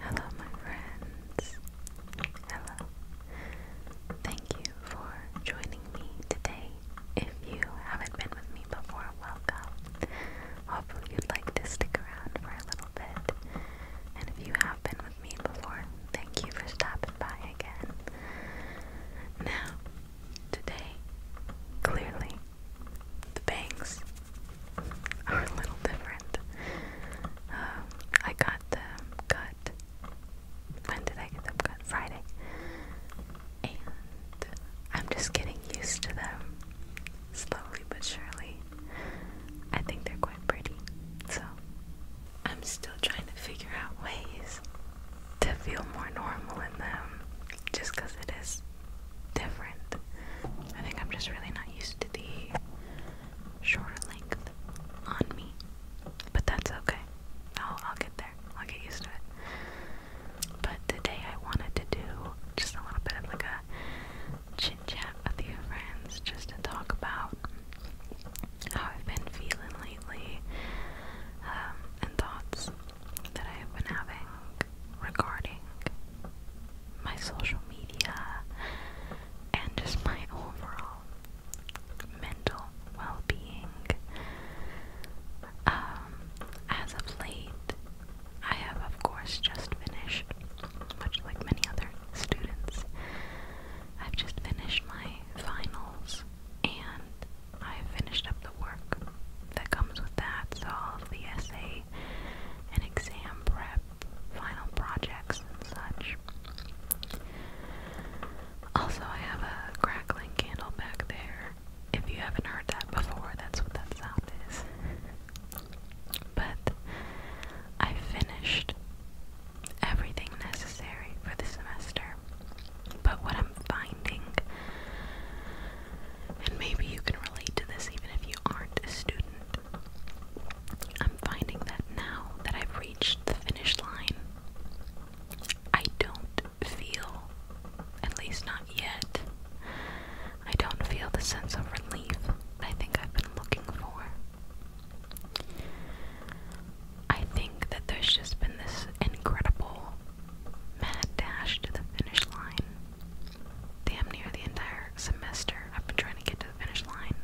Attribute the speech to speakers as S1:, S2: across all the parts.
S1: Hello, my friends. Hello. Thank you for joining me today. If you haven't been with me before, welcome. Hopefully, you'd like to stick around for a little bit. And if you have been with me before, thank you for stopping by again. Now, today, clearly, the bangs are a little different. Um, I got them cut. When did I get them cut? Friday. And I'm just getting used to them slowly but surely. I think they're quite pretty. So I'm still trying to figure out ways to feel more normal in them just because it is different. I think I'm just really not used to the shorter length on me. But that's okay. I'll, I'll get there. I'll get used to it. But today I wanted to do just a little bit of like a chit chat with your friends just to talk about how I've been feeling lately um, and thoughts that I have been having regarding my social media, and just my overall mental well being. Um, as of late, I have, of course, just finished, much like many other students, I've just finished my finals and I've finished up the work that comes with that, so all of the essay and exam prep final projects and such. Also, I have a crackling candle back there. If you haven't heard that before, that's what that sound is. but I finished everything necessary for the semester. But what I'm finding, and maybe you can relate to this even if you aren't a student, I'm finding that now that I've reached the finish line, I don't feel, at least not yet, I don't feel the sense of relief I think I've been looking for. I think that there's just been this incredible mad dash to the finish line. Damn near the entire semester I've been trying to get to the finish line.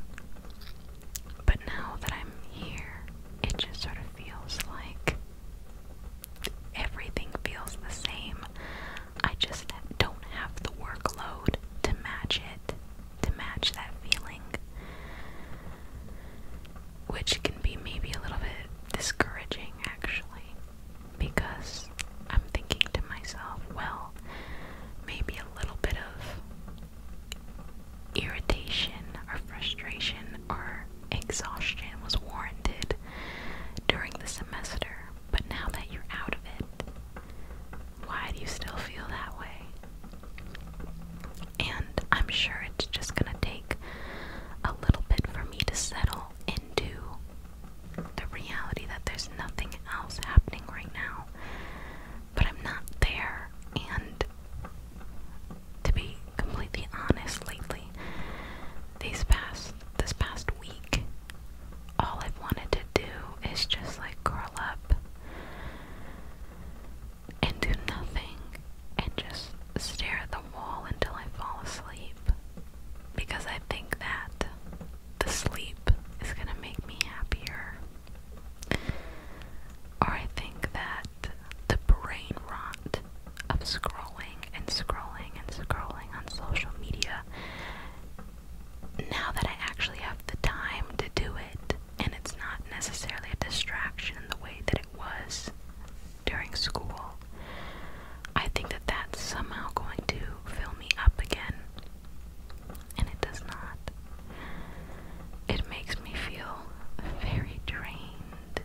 S1: But now that I'm here, it just sort of feels like everything feels the same. I just don't have the workload to match it, to match that feeling. Which can be maybe a little bit discouraging, actually because I'm thinking to myself, well, maybe a little bit of irritation or frustration or exhaustion was warranted during the semester, but now that you're out of it, why do you still feel that way? And I'm sure it's just gonna take a little bit for me to settle into the reality that there's nothing else happening right now. But I'm not there, and to be completely honest, lately, these past this past week, all I've wanted to do is just like curl up and do nothing and just stare at the wall until I fall asleep because I think that the sleep is going to make me happier. Or I think that the brain rot of scrolling and scrolling and scrolling on social media, now that I actually have the time to do it, and it's not necessarily a distraction in the way that it was during school, I think that that's somehow going to fill me up again and it does not. It makes me feel very drained.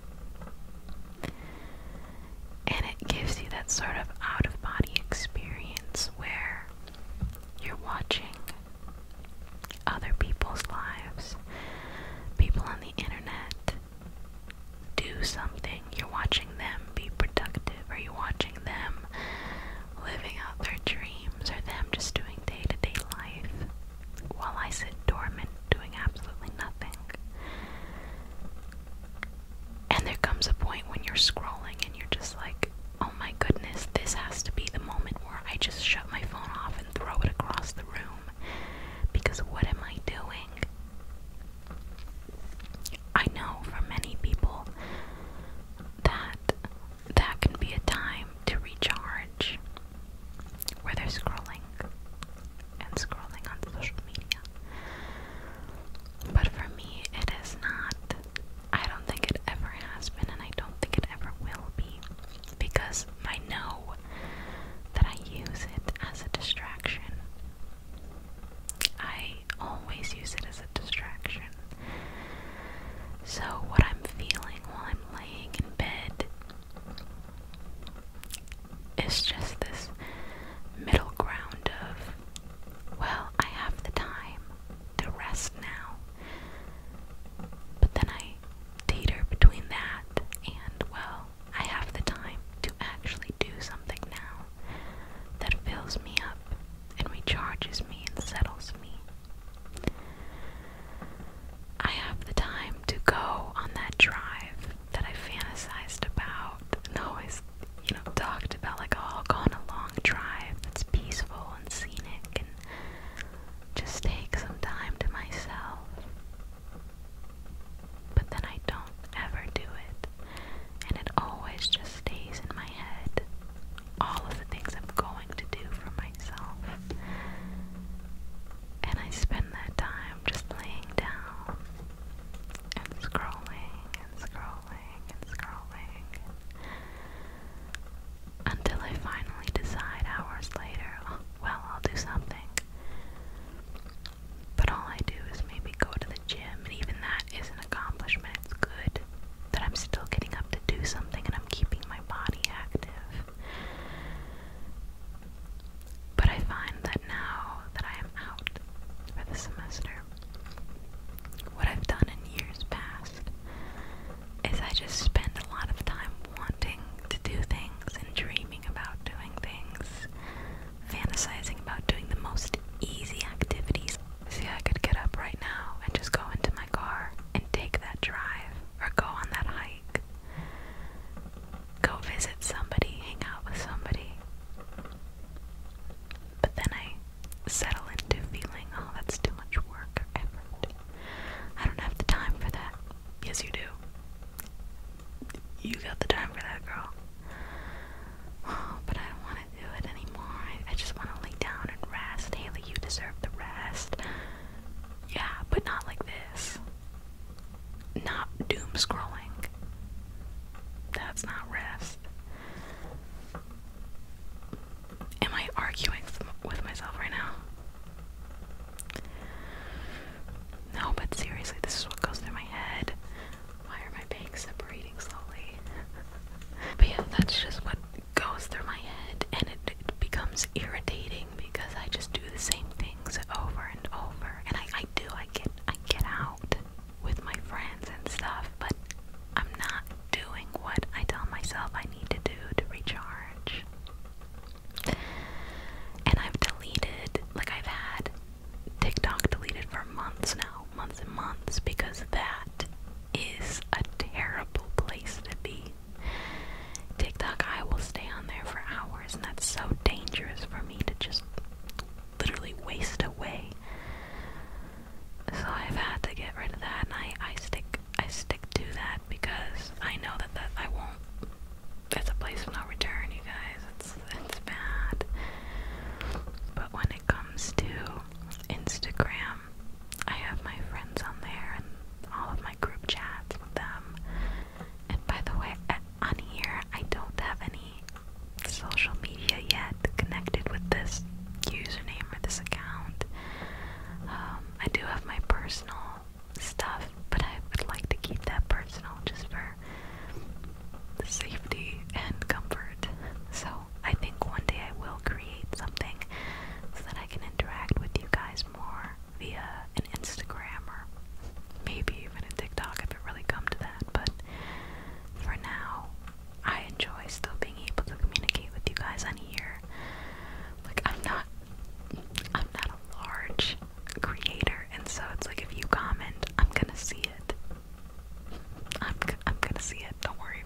S1: And it gives you that sort of out of body experience where you're watching other people's lives, people on the internet do something. You're watching watching them be productive? Are you watching them living out their dreams or them just doing day to day life while I sit dormant doing absolutely nothing? And there comes a point when you're scrolling and you're just like, oh my goodness, this has to be the moment where I just shut my phone off and throw it across the room because what am I doing? I know for many people, that that can be a time to recharge where they're scrolling and scrolling on social media. But for me, it is not. I don't think it ever has been, and I don't think it ever will be because I know that I use it as a distraction I always use it as a distraction. So, what I'm feeling while I'm laying in bed is just this middle ground of, well, I have the time to rest now. But then I teeter between that and, well, I have the time to actually do something now that fills me up and recharges me and settles me. I have the time to go on that drive that I fantasized about always, you know, talked about like, oh, go on a long drive that's peaceful and scenic and just take some time to myself. But then I don't ever do it and it always just stays in my head. All of the things I'm going to do for myself. And I spend that time just laying down and scrolling and scrolling and scrolling until I finally decide hours later, oh, well, I'll do something. But all I do is maybe go to the gym, and even that is an accomplishment. It's good that I'm still getting up to do something and I'm keeping my body active. But I find that now that I am out for the semester, what I've done in years past is I just spend a lot of time wanting to do things and dreaming about doing things, fantasizing about doing the most easy activities See, I could get up right now and just go into my car and take that drive or go on that hike. Go visit somebody, hang out with somebody. But then I settle into feeling, oh, that's too much work I don't have the time for that. Yes, you do. You got the time for that, girl. but I don't want to do it anymore. I just want to lay down and rest. Haley, you deserve the rest. Yeah, but not like this. Not doom scrolling. That's not rest. Am I arguing with myself right now? No, but seriously, this is what goes through my head. Why are my bangs separating slowly? but yeah, that's just what goes through my head, and it, becomes irritating because I just do the same things over and over. And I, I do, I get, I get out with my friends and stuff, but I'm not doing what I tell myself I need to do to recharge. And I've deleted, like I've had TikTok deleted for months now months and months because that is a terrible place to be. TikTok, I will stay on there for hours, and that's so dangerous for me to just literally waste away. So I've had to get rid of that, and I, I stick I stick to that because I know that that I won't. It's a place I'll not return, you guys. It's it's bad. But when it comes to Instagram. I have my friends on there and all of my group chats with them. And by the way, on here, I don't have any social media yet connected with this username or this account. Um, I do have my personal stuff, but I would like to keep that personal just for safety and comfort. So I think one day I will create something so that I can interact with you guys more via an Instagram or maybe even a TikTok if it really comes to that. But for now, I enjoy still being able to communicate with you guys on here. Like I'm not I'm not a large creator and so it's like if you comment, I'm gonna see it. I'm I'm gonna see it. Don't worry.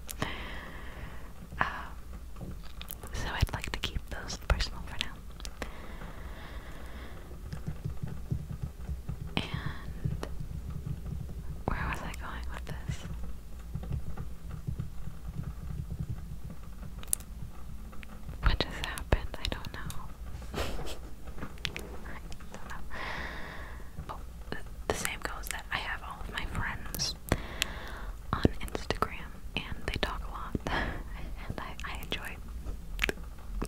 S1: Um, so I'd like to keep those personal for now. And where was I going with this? What just happened? I don't know. I don't know. Oh, the same goes that I have all of my friends on Instagram, and they talk a lot, and I, enjoy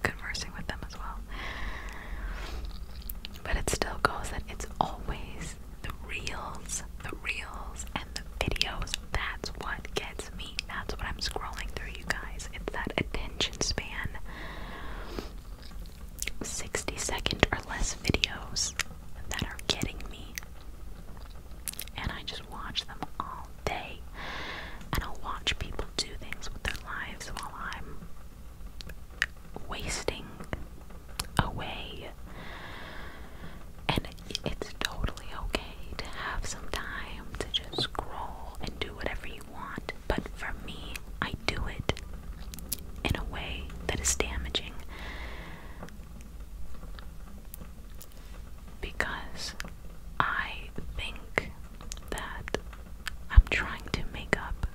S1: conversing with them as well. But it still goes that it's always the reels, the reels, and the videos. That's what gets me. That's what I'm scrolling through, you guys. It's that attention span. 60 second or less videos that are getting me. And I just watch them all day. And I'll watch people do things with their lives while I'm wasting away. And it's totally okay to have some time to just scroll and do whatever you want. But for me, I do it in a way that is damaging because I think that I'm trying to make up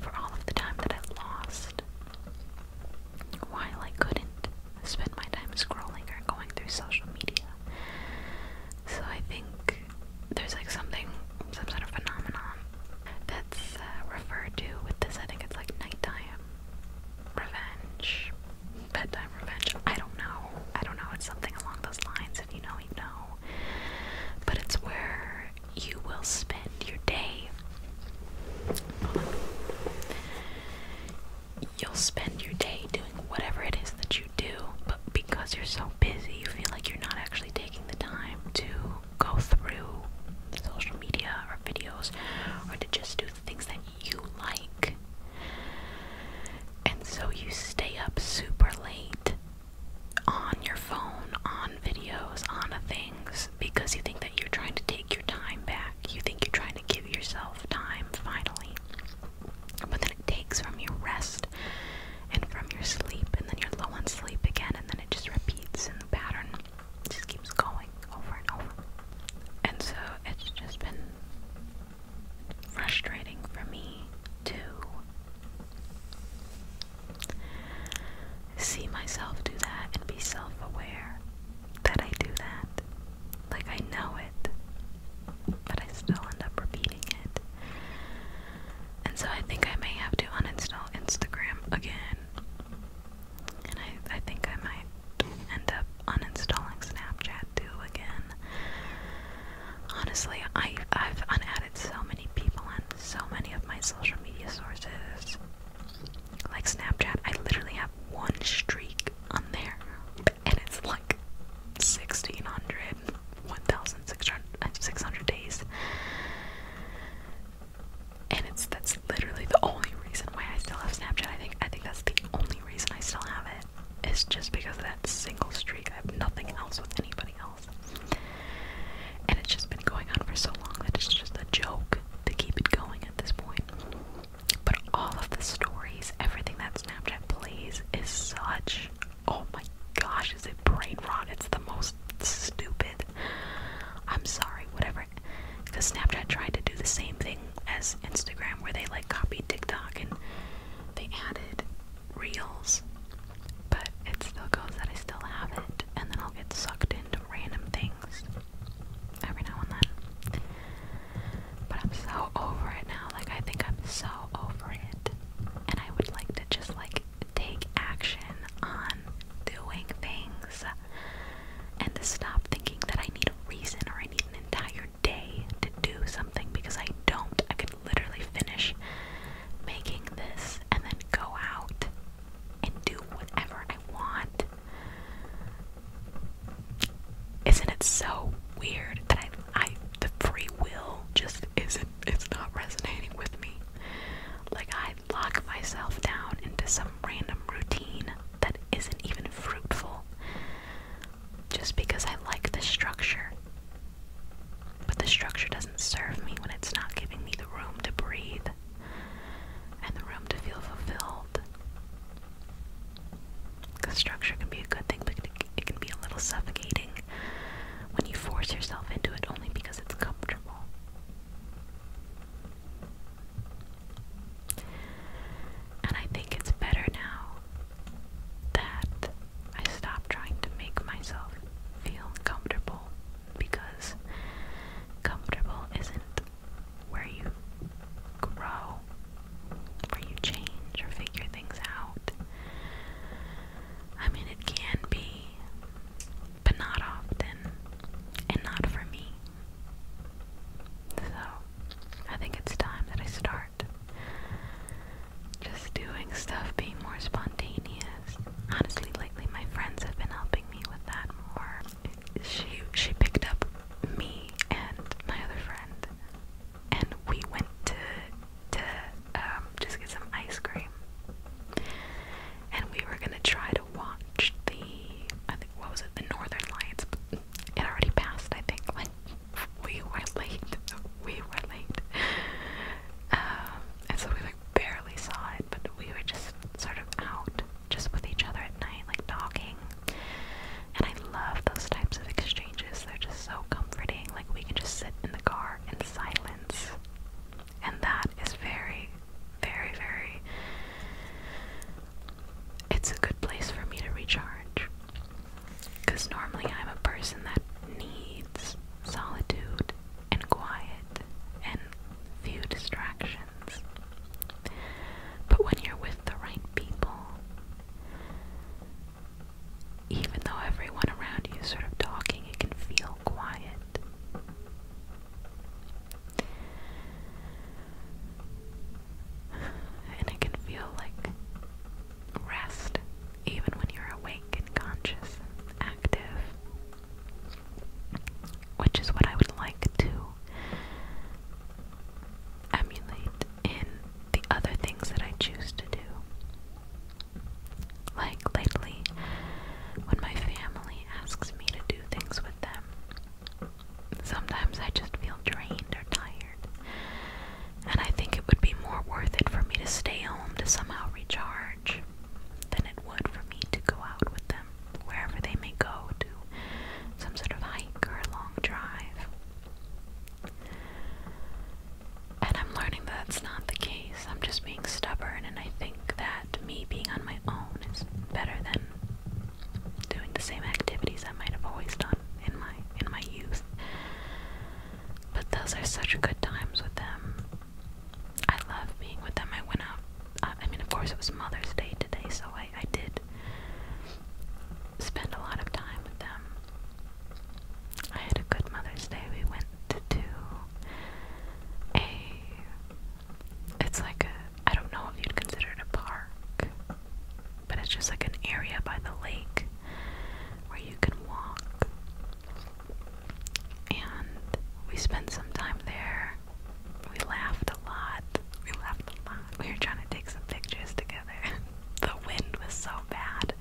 S1: for all of the time that I lost while I couldn't spend my time scrolling or going through social media. So I think there's like something some sort of phenomenon that's uh, referred to with this. I think it's like nighttime revenge, bedtime revenge. I don't know. I don't know. It's something along those lines. If you know, you know. But it's where you will spend your day. You'll spend your day doing whatever it is that you do, but because you're so busy, you feel like you're not actually taking the time to go through social media or videos or to just do the things that you like. And so you stay up super late on your phone, on videos, on things because you think that you're trying to take your time back. You think you're trying to give yourself time finally. But then it takes from your rest and from your sleep, and then you're low on sleep again, and then it just repeats in the pattern just keeps going over and over. And so it's just been frustrating for me to see myself do that and be self aware that I do that. Like I know it, but I still end up repeating it. And so I think I may have to uninstall Instagram again and I, I think I might end up uninstalling Snapchat too again. Honestly, I, I've unadded so many people on so many of my social media sources. Like Snapchat, I literally have one streak on there, and it's like 1600, 1600 days and it's that's literally the only reason why I still have Snapchat. I think I think that's the only reason I still have it. It's just because of that single streak. I have nothing else with anybody else. And it's just been going on for so long that it's just a joke to keep it going at this point. But all of the stories, everything that Snapchat plays is such oh my gosh, is it brain rot? It's the most stupid. I'm sorry, whatever. Because Snapchat tried to do the same thing as Instagram, where they like copied TikTok and they added reels. But it still goes that I still have it, and then I'll get sucked into random things every now and then. But I'm so over it now. Like, I think I'm so over it. And I would like to just like take action on doing things and to stop thinking that I need a reason or I need an entire day to do something because I don't. I could literally finish making this and then go out and do whatever I want. Isn't it so weird that I, I the free will just isn't it's not resonating with me. Like I lock myself down into some random routine that isn't even fruitful just because I like the structure. But the structure doesn't serve me when it's not giving me the room to breathe and the room to feel fulfilled. The structure can be a good thing, but it can be a little suffocating when you force yourself into it only because it's comfortable. And I think it's better now that I stop trying to make myself feel comfortable because comfortable isn't where you grow, where you change or figure things out. I mean, it can be, but not often, and not for me. So, I think it's time that I start just doing stuff, being more spontaneous. Honestly, lately my friends have been helping me with that more. She she picked up me and my other friend, and we went to to um, just get some ice cream and we were gonna try to watch the what was it the Northern Lights. But it already passed. I think like we were late. We were late, um, and so we like barely saw it. But we were just sort of out, just with each other at night, like talking. And I love those types of exchanges. They're just so comforting. Like we can just sit in the car in silence and that is very, very, very. It's a good place for me to recharge. Because normally I'm a person that needs solitude and quiet and few distractions. But when you're with the right people, even though everyone around you is sort of talking, you can feel quiet. And it can feel like rest, even when you're awake and conscious active, which is what I would like to emulate in the other things that I choose to do. Like lately, when my family family asks me to do things with them. Sometimes I just feel drained or tired, and I think it would be more worth it for me to stay home to somehow recharge than it would for me to go out with them wherever they may go to some sort of hike or a long drive. And I'm learning that that's not the case. I'm just being stubborn, and I think think that me being on my own is better than doing the same activities I might have always done in my in my youth. But those are such good times with them. I love being with them. I went out. Uh, I mean, of course, it was Mother's Day today, so I, I did spend a lot of time with them. I had a good Mother's Day. We went to do a it's like a, I don't know if you'd consider it a park, but it's just like an area by the lake where you can walk. And we spent some time there. We laughed a lot. We laughed a lot. We were trying to take some pictures together. the wind was so bad.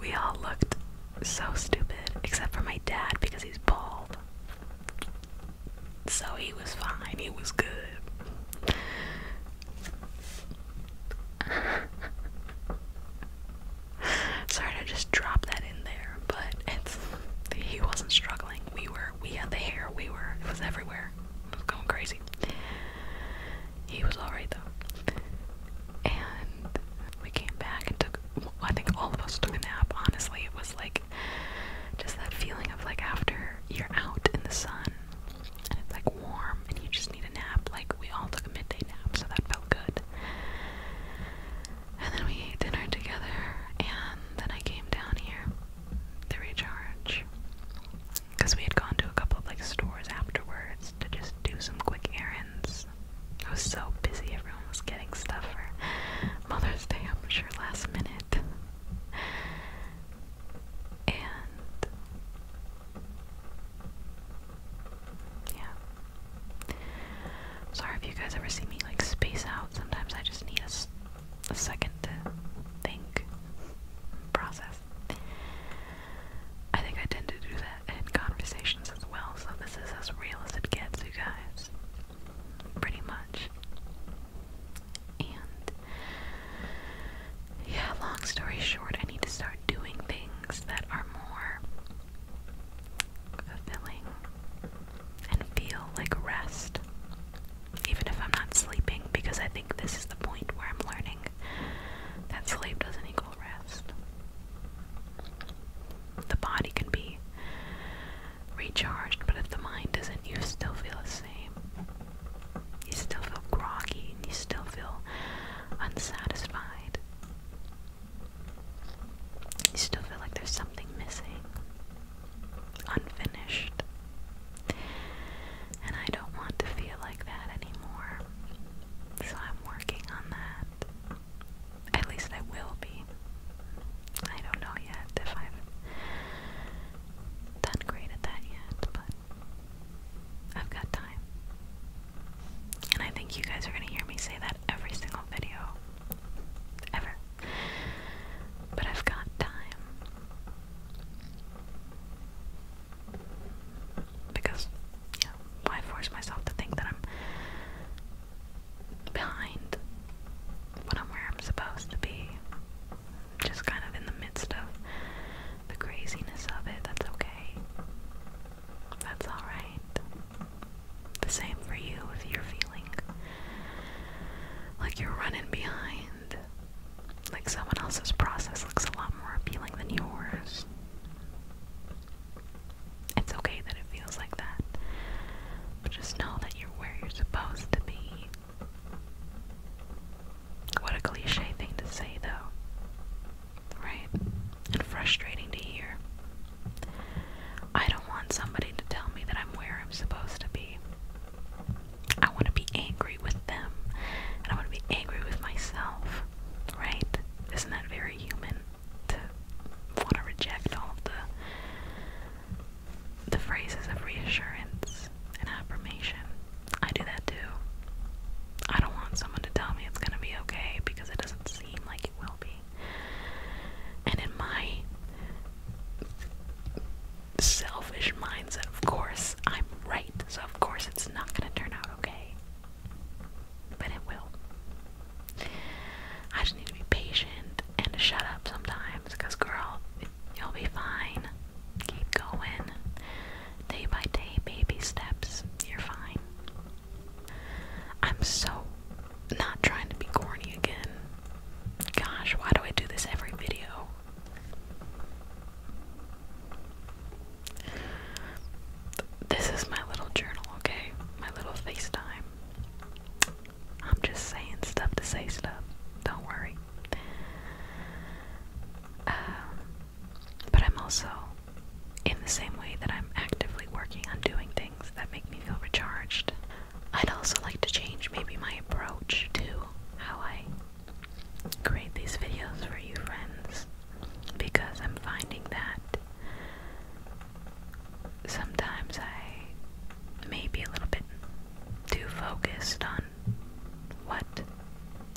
S1: We all looked so stupid, except for my dad because he's bald. So he was fine, he was good. Sorry to just drop that in there, but it's he wasn't struggling. We were we had the hair, we were it was everywhere. It was going crazy. He was alright though. And we came back and took I think all of us took a nap. Honestly, it was like just that feeling of like after you're out in the sun and it's like warm and you just need a nap. Like we all took a midday nap, so that felt good. And then we ate dinner together, and then I came down here to recharge because we had gone to a couple of like stores afterwards to just do some quick errands. I was so busy, everyone was getting stuff for Mother's Day, I'm sure, last minute. And yeah. Sorry if you guys ever see me like space out. Sometimes I just need a second to think, process. I think I tend to do that in conversations as well, so this is as real as it gets, you guys pretty much. And yeah, long story short, I need to start doing things that are more fulfilling and feel like rest, even if I'm not sleeping, because I think this is the point where I'm learning that sleep doesn't equal rest. The body can be recharged, but if the mind does not you still feel the same. You still feel groggy and you still feel unsatisfied. You still feel like there's something missing, unfinished. And I don't want to feel like that anymore. So I'm working on that. At least I will be. I don't know yet if I've done great at that yet, but I've got time. And I think you guys are going to hear me say that every single video. Ever. But I've got time. Because, why force myself to think that I'm behind when I'm where I'm supposed to be. Just kind of in the midst of the craziness of it. That's okay. That's alright. The same for you if you're feeling like you're running behind. Like someone else's process looks a lot more appealing than yours. It's okay that it feels feels like that. just know that you're where you're supposed to be. What a cliche thing to say, though. Right? And frustrating to hear. I don't want somebody to tell me that I'm where I'm supposed to be. I want to be angry with them, and I want to be angry with myself. Right? Isn't that very human to want to reject all the the phrases of reassurance and affirmation. I do that too. I don't want someone to tell me it's going to be okay because it doesn't seem like it will be. And in my selfish mindset, of course, I'm right. So, of course, it's not going to turn out okay. But it will. I just need to be patient and to shut up sometimes, cause girl, you'll be fine. Keep going. Day by day, baby steps. You're fine. I'm so not trying to be corny again. Gosh, why do I do this every video? This is my little journal, okay? My little FaceTime. I'm just saying stuff to say stuff. Don't worry. Um, but I'm also, in the same way that I'm actively working on doing things that make me feel recharged, I'd also like to change maybe my approach to how I create these videos for you friends because I'm finding that sometimes I may be a little bit too focused on what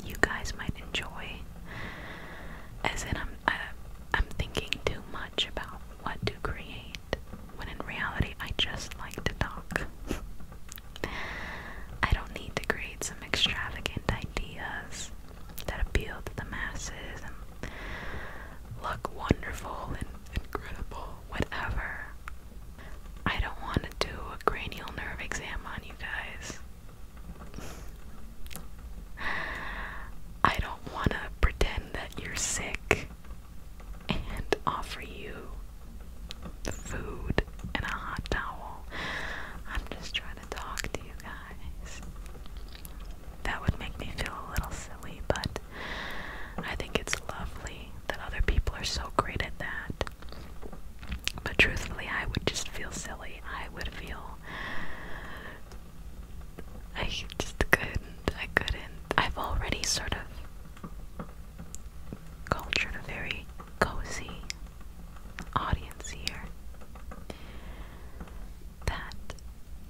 S1: you guys might enjoy. As in, I'm I, am i am thinking too much about what to create, when in reality, I just like to talk. I don't need to create some extravagant ideas that appeal to the masses and look wonderful and incredible whatever. I don't want to do a cranial nerve exam on you guys. I don't want to pretend that you're sick and offer you food and a hot towel. I'm just trying to talk to you guys. That would make me feel a little silly, but I think it's lovely that other people are so great at that. But truthfully, I would just feel silly. I would feel. I just couldn't. I couldn't. I've already sort of cultured a very cozy audience here. That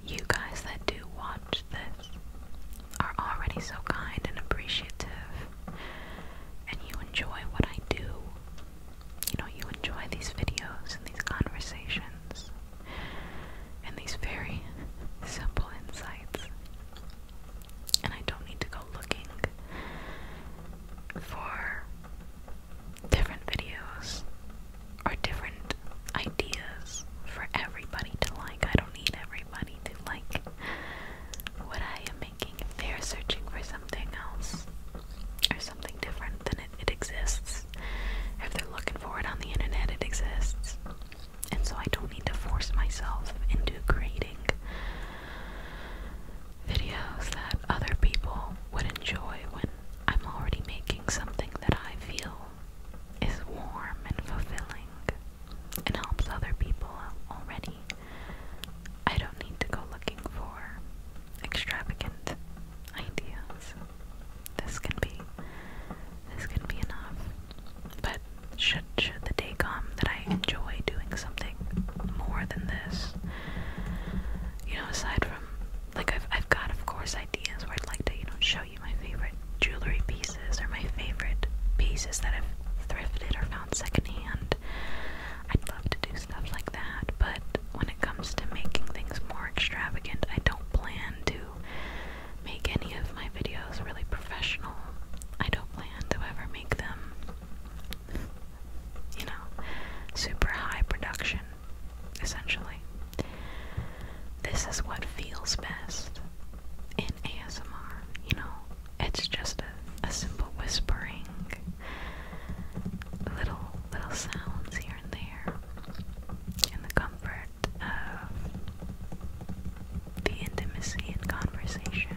S1: you guys that do watch this are already so kind and appreciative, and you enjoy what I do. You know, you enjoy these videos and these conversations and these very simple insights. And I don't need to go looking for different videos or different ideas for everybody to like. I don't need every money to like what I am making they are searching for something else or something different than it exists. If they're looking for it on the internet, it exists. And so I don't need to force myself into creating videos that other people would enjoy when I'm already making something that I feel is warm and fulfilling and helps other people already. I don't need to go looking for extravagant ideas. This can be this can be enough. But should should the day come that I enjoy doing something more than this? You know, aside from like I've I've got of course ideas where I'd like to, you know, show my favorite jewelry pieces are my favorite pieces that I've thrifted or found secondhand. i love to do stuff like that, but when it comes to making things more extravagant, I don't plan to make any of my videos really professional. I don't plan to ever make them, you know, super high production, essentially. This is what feels best in ASMR, you know, it's just a, simple whispering, little little sounds here and there, in the comfort of the intimacy and conversation.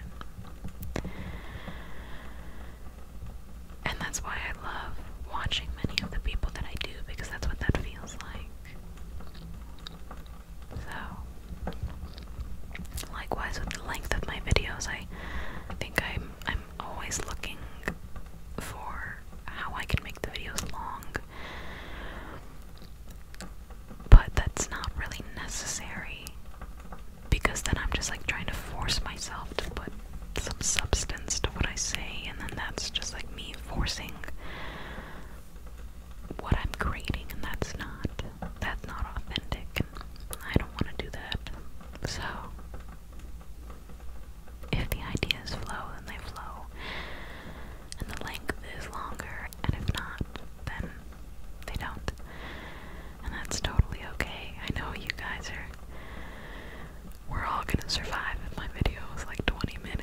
S1: And that's why I love watching many of the people that I do because that's what that feels like. So, likewise with the length of my videos, I think I'm I'm always looking for how I can make the videos long. But that's not really necessary because then I'm just like trying to force myself to put some substance to what I say, and then that's just like me forcing what I'm creating, and that's not that's not authentic. I don't want to do that. So, if the ideas flow, then they flow, and the length is longer. And if not, then they don't. And that's totally okay. I know you guys are. We're all gonna survive if my video is like 20 minutes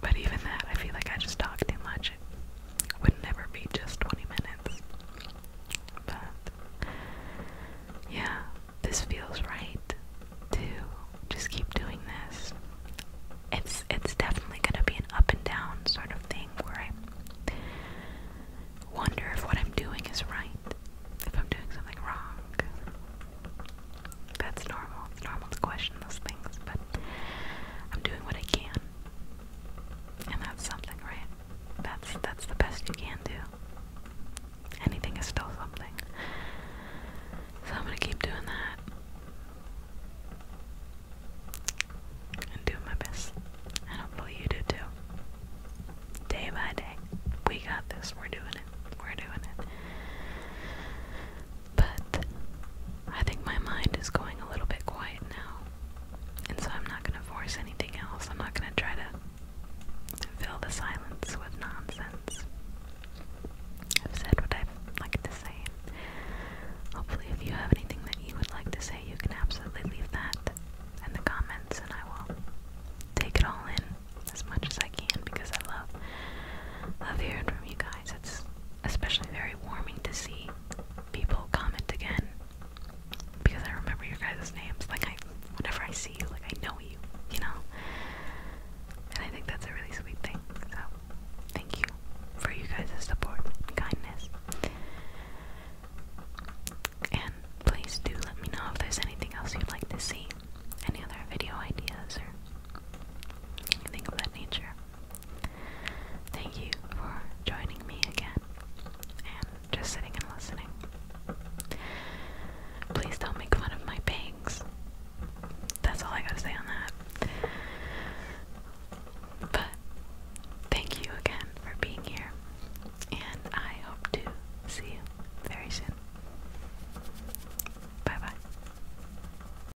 S1: but even that, I feel like I just talk too much. It would never be just 20 minutes. But yeah, this feels right to just keep doing this. It's it's definitely gonna be an up and down sort of thing where I wonder if what I'm doing is right, if I'm doing something wrong. That's normal. It's normal to question those things, but I'm doing what I can. And that's something, right? That's that's the best you can do. Anything is still something. So I'm gonna keep doing that. And doing my best. And hopefully you do too. Day by day. We got this. We're doing it. We're doing it. But I think my mind is going a little bit quiet now. And so I'm not going to force anything else. I'm not going to try to fill the silence with nonsense. I've said what I'd like to say. Hopefully, if you have anything that you would like to say, you can absolutely leave that in the comments, and I will take it all in as much as I can because I love love hearing from you guys. It's especially very warming to see people comment again because I remember your guys' names. Like I, whenever I see you, like I know you, you know. And I think that's a really sweet thing. So thank you for you guys' support and kindness. And please do let me know if there's anything else you'd like to see, any other video ideas or anything of that nature. Thank you for joining me again and just sitting and listening. Please don't make fun of my pigs. That's all I gotta say on that. But thank you again for being here, and I hope to see you very soon. Bye bye.